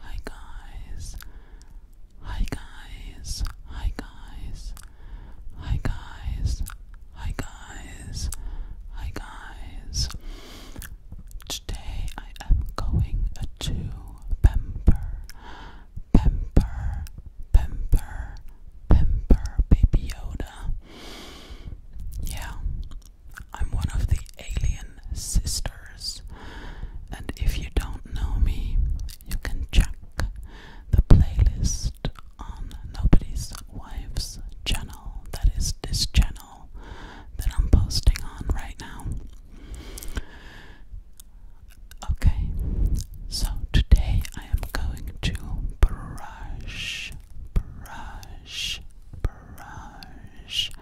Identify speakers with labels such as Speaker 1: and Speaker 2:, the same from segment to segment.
Speaker 1: Hi guys. Hi guys. Hi guys. Hi guys. Hi guys. Hi guys. Today I am going to pamper, pamper, pamper, pamper Baby Yoda. Yeah, I'm one of the alien sisters, and if you don't know me, you can check the playlist on Nobody's Wife's channel. That is this channel that I'm posting on right now. Okay, so today I am going to brush, brush, brush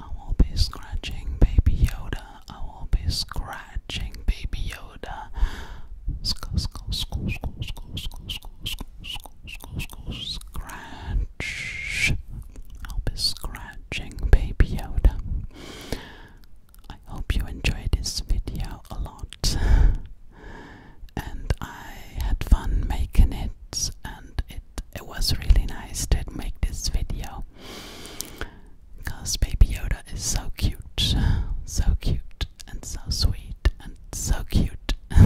Speaker 1: I will be scratching Baby Yoda. I will be scratching Baby Yoda. Scratch. I'll be scratching Baby Yoda. I hope you enjoyed this video a lot. and I had fun making it. And it, it was really nice to make this video because Baby Yoda is so cute, so cute, and so sweet, and so cute.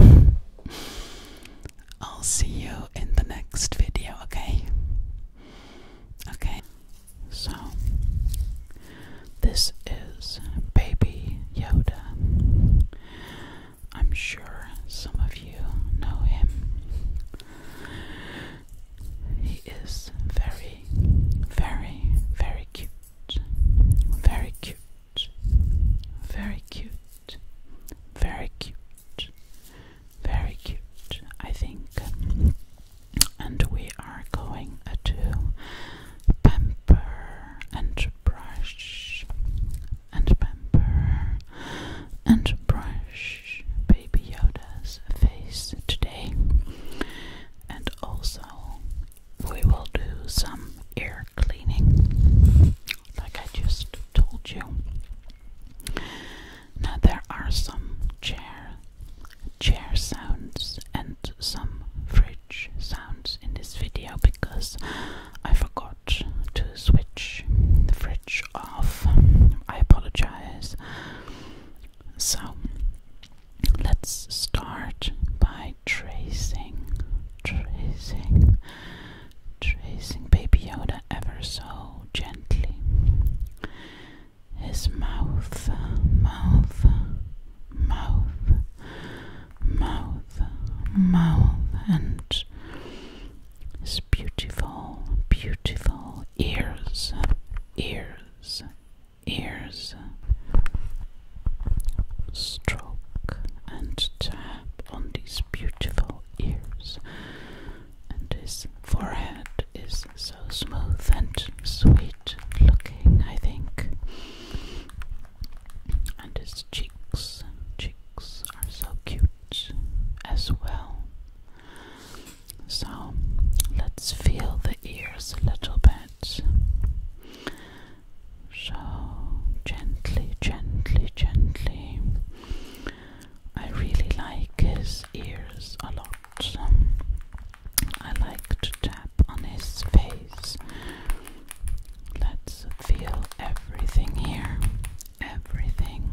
Speaker 1: I'll see you in the next video, okay? Okay, so this is Baby Yoda. I'm sure some of you know him. He is very, very, very cute. Very cute. Very cute. Very cute. Very cute, I think. And we are going to pamper and brush and pamper and brush Baby Yoda's face today. And also, we will do some air cleaning, like I just told you. Now, there are some chair, chair sounds and some fridge sounds in this video because I forgot to switch the fridge off. I apologize. So, let's start by tracing, tracing, tracing Baby Yoda ever so gently. His mouth, mouth, mouth mouth, mouth, and his beautiful, beautiful ears, ears, ears. Stroke and tap on these beautiful ears, and his forehead is so smooth and sweet looking, I think and his cheeks, cheeks are so cute as well. So let's feel the ears a little bit. So gently, gently, gently. I really like his ears a lot. I like to tap on his face Let's feel everything here. Everything.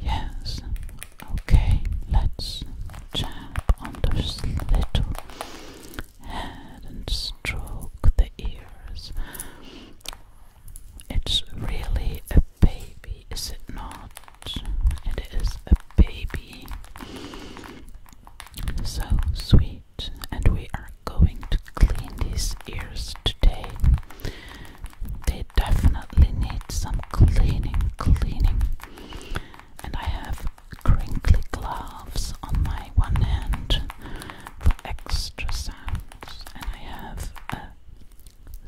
Speaker 1: Yes. Okay, let's tap on this little head and stroke the ears. It's really a baby, is it not? It is a baby. So sweet, and we are going to clean these ears today. They definitely need some cleaning, cleaning. And I have crinkly gloves on my one hand for extra sound. I have a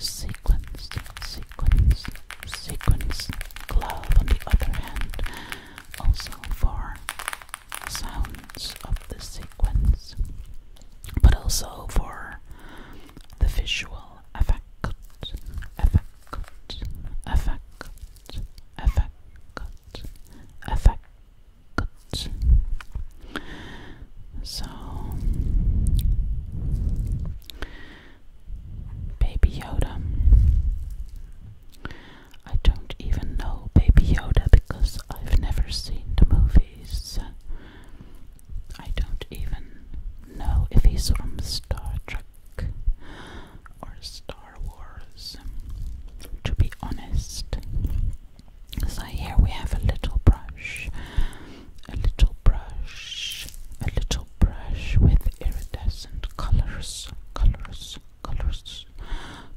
Speaker 1: sequence, sequence, sequence glove on the other hand, also for sounds of the sequence, but also for the visual effect, effect, effect, effect, effect. Good. So, Baby Yoda. I don't even know Baby Yoda because I've never seen the movies. I don't even know if he's from Star Trek or Star Wars, to be honest. So here we have a little brush, a little brush, a little brush with iridescent colors, colors, colors,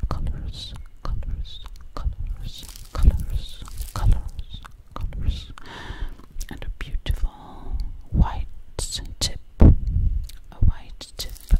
Speaker 1: colors, colors, colors, colors, colors, colors, and a beautiful white tip, a white tip,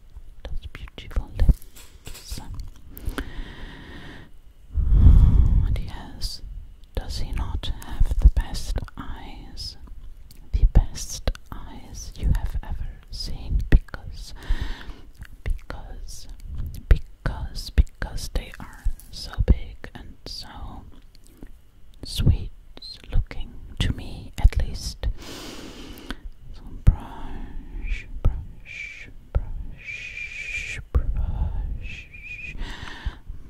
Speaker 1: those beautiful lips. And yes, does he not have the best eyes? The best eyes you have ever seen because, because, because, because they are so big and so sweet looking to me at least. So brush, brush, brush, brush,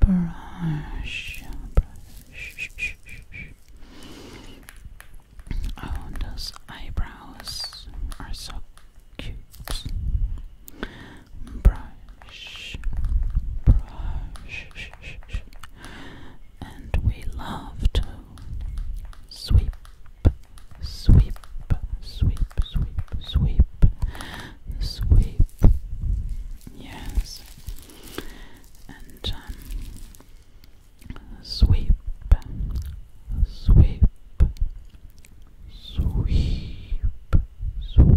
Speaker 1: brush, brush. Oh, those eyebrows are so cute. Brush, brush, and we love to sweep, sweep, sweep, sweep, sweep, sweep. Yes, and um, sweep, sweep, sweep, sweep,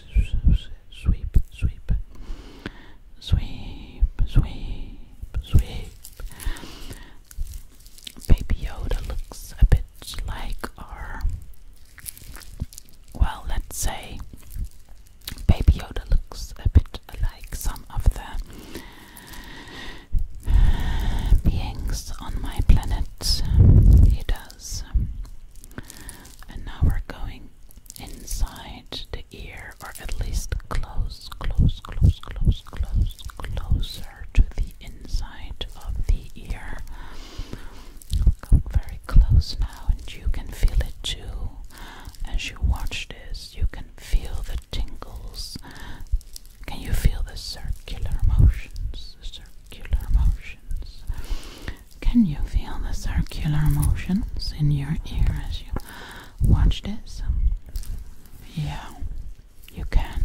Speaker 1: sweep, sweep, sweep, sweep, sweep. Baby Yoda looks a bit like our, well, let's say, Baby Yoda looks a bit like some of the beings on my planet. He does. And now we're going inside the ear, or at least close, close, close, close, close, closer to the inside of the ear. Come very close now, and you can feel it too. As you watch this, you can feel the tingles. Can you feel the circular motions? The circular motions motions. Can you feel the circular motions in your ear as you watch this? Yeah, you can.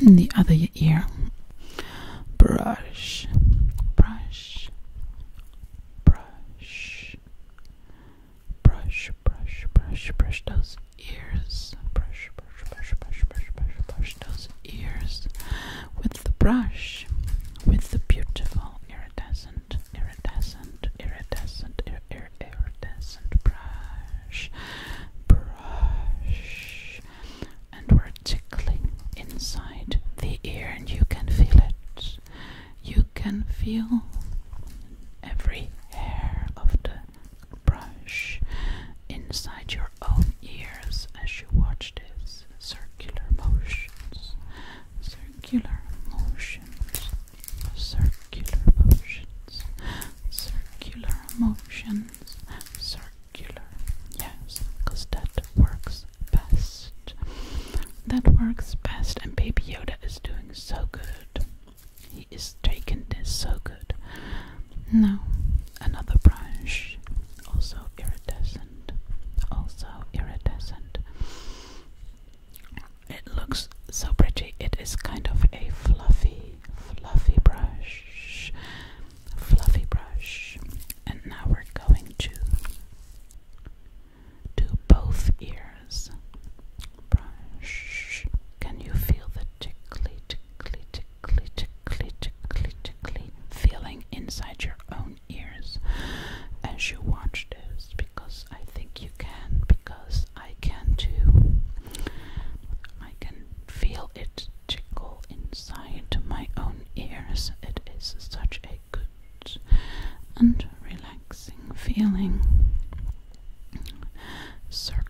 Speaker 1: In the other ear. Brush, brush, brush, brush, brush, brush, brush those ears. Brush, brush, brush, brush, brush, brush, brush those ears with the brush, with the beautiful iridescent, iridescent, iridescent, ir ir iridescent brush, brush, and we're tickling inside the ear, and you can feel it. You can feel every hair of the brush inside your own ears as you watch this. Circular motions, circular motions, circular motions, circular motions, circular. Yes, because that works best. That works best, and Baby Yoda is doing so good. He is taking this so good. Now, another brush, also iridescent, also iridescent. It looks so pretty. It is kind of a fluffy, fluffy brush, fluffy brush. And now we're going to do both ears. Brush. Can you feel the tickly, feeling inside your own ears as you watch this because I think you can, because I can too. I can feel it tickle inside my own ears. It is such a good and relaxing feeling. Circle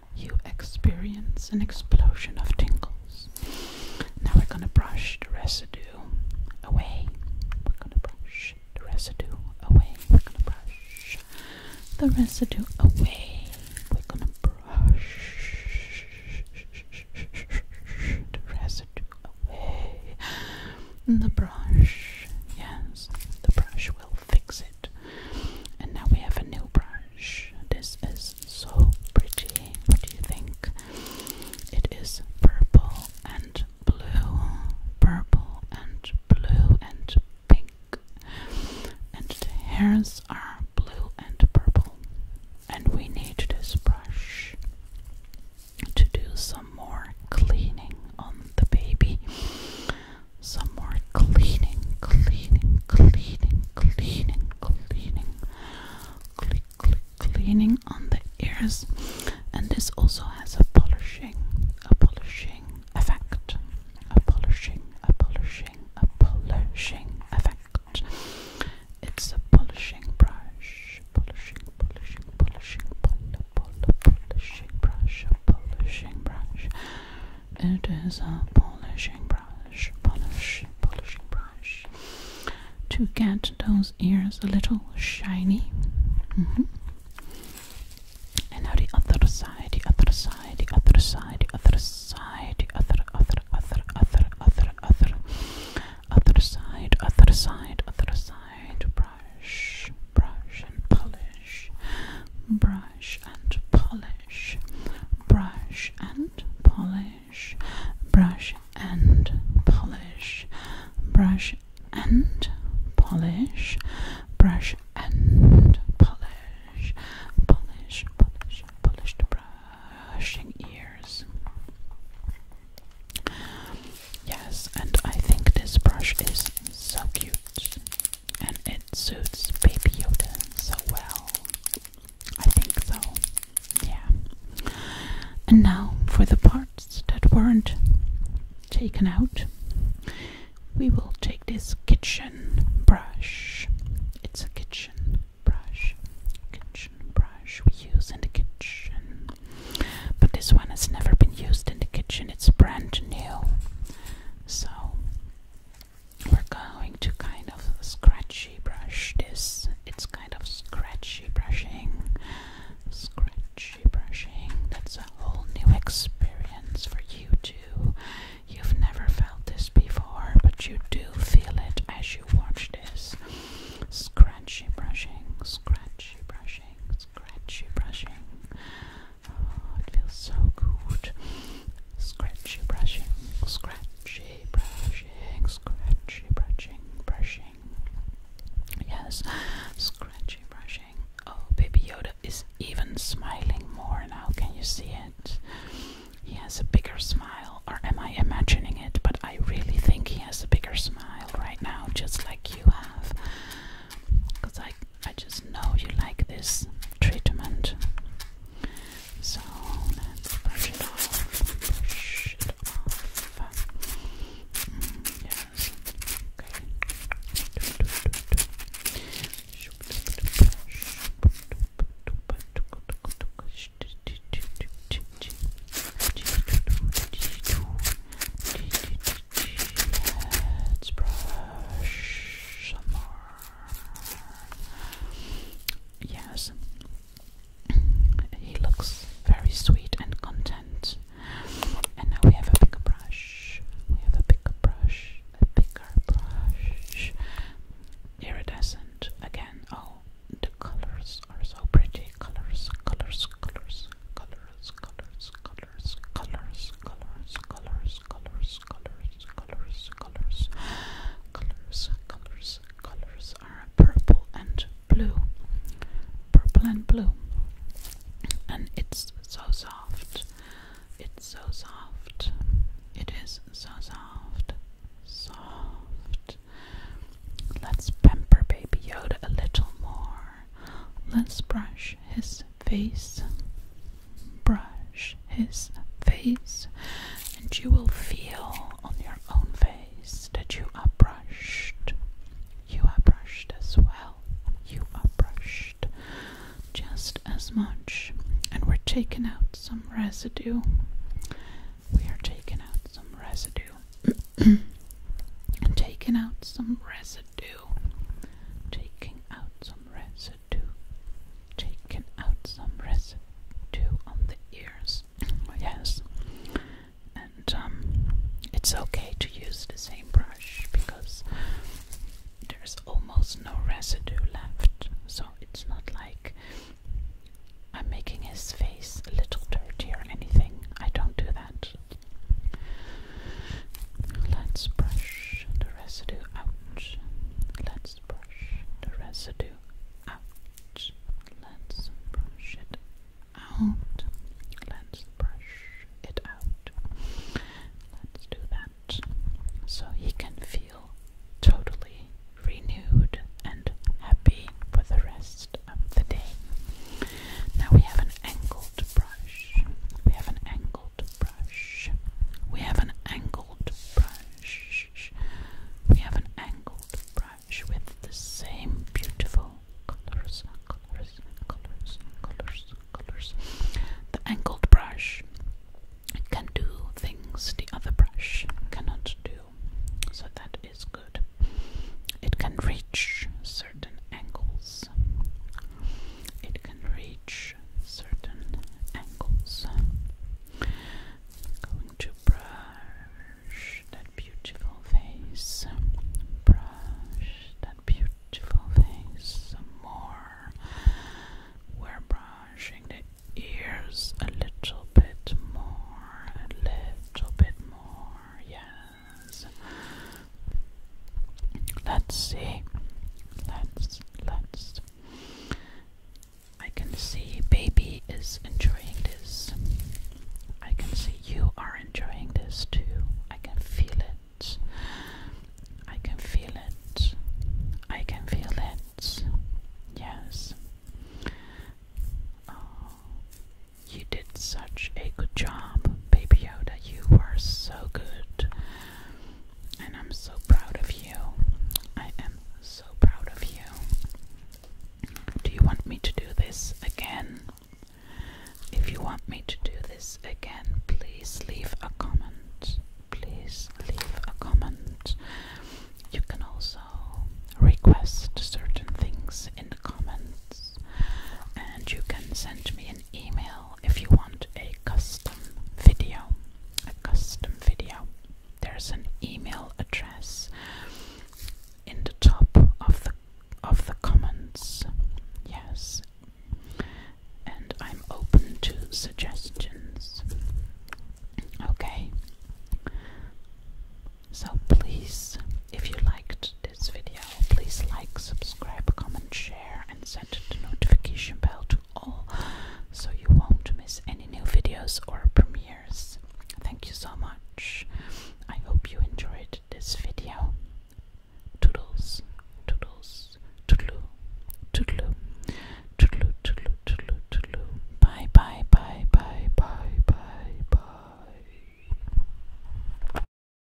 Speaker 1: you experience an explosion of tingles. Now we're going to brush the residue away. We're going to brush the residue away. We're going to brush the residue away. We're going to brush the residue away. The brush, yes, the brush will fix it. And now we have a new brush. This is so pretty. What do you think? It is purple and blue, purple and blue and pink, and the hairs are blue and purple. And we need this brush to do some more cleaning on the baby. Some more cleaning, cleaning, cleaning, cleaning, cleaning, cleaning on the ears, and this also has a polishing, a polishing effect, a polishing, a polishing, a polishing effect. It's a polishing brush, polishing, polishing, polishing, pol, pol, polishing brush, a polishing brush. It is a polishing brush, polish, polishing brush to get those ears a little shiny. Mm-hmm. And now the other side, the other side, the other side, the other side, the other, other, other, other, other, other, other side, other side, other side, brush, brush and polish, brush brush and polish, brush and polish, brush and polish, brush and polish, brush and polish, polish, polish, polish the brushing ears. Yes, and I think this brush is so cute and it suits Baby Yoda so well. I think so. Yeah. And now for the parts that weren't taken out, we will take this kitchen brush. It's a kitchen brush. Kitchen brush we use in the kitchen. But this one has never been used in the kitchen. It's brand new. So we're going to kind of scratchy brush this. It's kind of scratchy brushing. Scratchy brushing. That's a whole new experience for you too. You've never felt this before, but you do feel it as you watch this. Scratchy brushing, scratchy brushing, scratchy brushing. Oh, it feels so good. Scratchy brushing, scratchy brushing, scratchy brushing, brushing. Yes, scratchy brushing. Oh, baby Yoda is even smiling more now. Can you see it? He has a bigger smile, or am I imagining it? But I really think he has a bigger smile right now, just like you have. Because I I just know you like this treatment. So let's brush it off. Mm, yes. Okay. Let's brush some more. Yes, he looks very sweet and content. And now we have a bigger brush. We have a bigger brush, a bigger brush. Iridescent again. Oh, the colors are so pretty. Colors, colors, colors, colors, colors, colors, colors, colors, colors, colors, colors, colors, colors, colors, colors, colors are purple and blue, purple and blue, and it's so soft. It's so soft. It is so soft, soft. Let's pamper Baby Yoda a little more. Let's brush his face, brush his face, and you will feel on your own face that you are brushed. You are brushed as well. You are brushed just as much. And we're taking out some residue. We are taking out some residue. taking out some residue. Taking out some residue residue, taken out some residue on the ears. Mm-hmm. yes, and um, it's okay to use the same brush because there's almost no residue left, so it's not like I'm making his face a little dirty or anything. I don't do that. Let's brush the residue out. Let's brush the residue out. Let's brush it out. Let's brush it out. Let's do that so he can feel totally renewed and happy for the rest of the day. Now we have an angled brush. We have an angled brush. We have an angled brush. We have an angled brush with the same beautiful colors, colors, colors, colors, colors. The angled brush can do things the other brush cannot do, so that is good. It can reach certain angles. It can reach certain angles. going to brush that beautiful face. Brush that beautiful face more. We're brushing the ears a little bit more, a little bit more. Yes. Let's see. Let's let's. I can see baby is enjoying this. I can see you are enjoying this too. I can feel it. I can feel it. I can feel it. Yes. Oh, you did such a good job, baby Yoda, you are so good. And I'm so proud of you. I am so proud of you. Do you want me to do this again? If you want me to do this again, please leave a comment. Please leave a comment. You can also request certain things in comments, and you can send me an email if you want a custom video. A custom video. There's an email address in the top of the of the comments. Yes. And I'm open to suggestions. Okay. So please, if you liked this video, please like, subscribe, comment, share, and send the notification bell to all so you won't miss any new videos or premieres. Thank you so much. I hope you enjoyed this video. Toodles, toodles, toodloo, toodloo, toodloo, toodloo, toodloo, toodloo. Bye, bye, bye, bye, bye, bye, bye.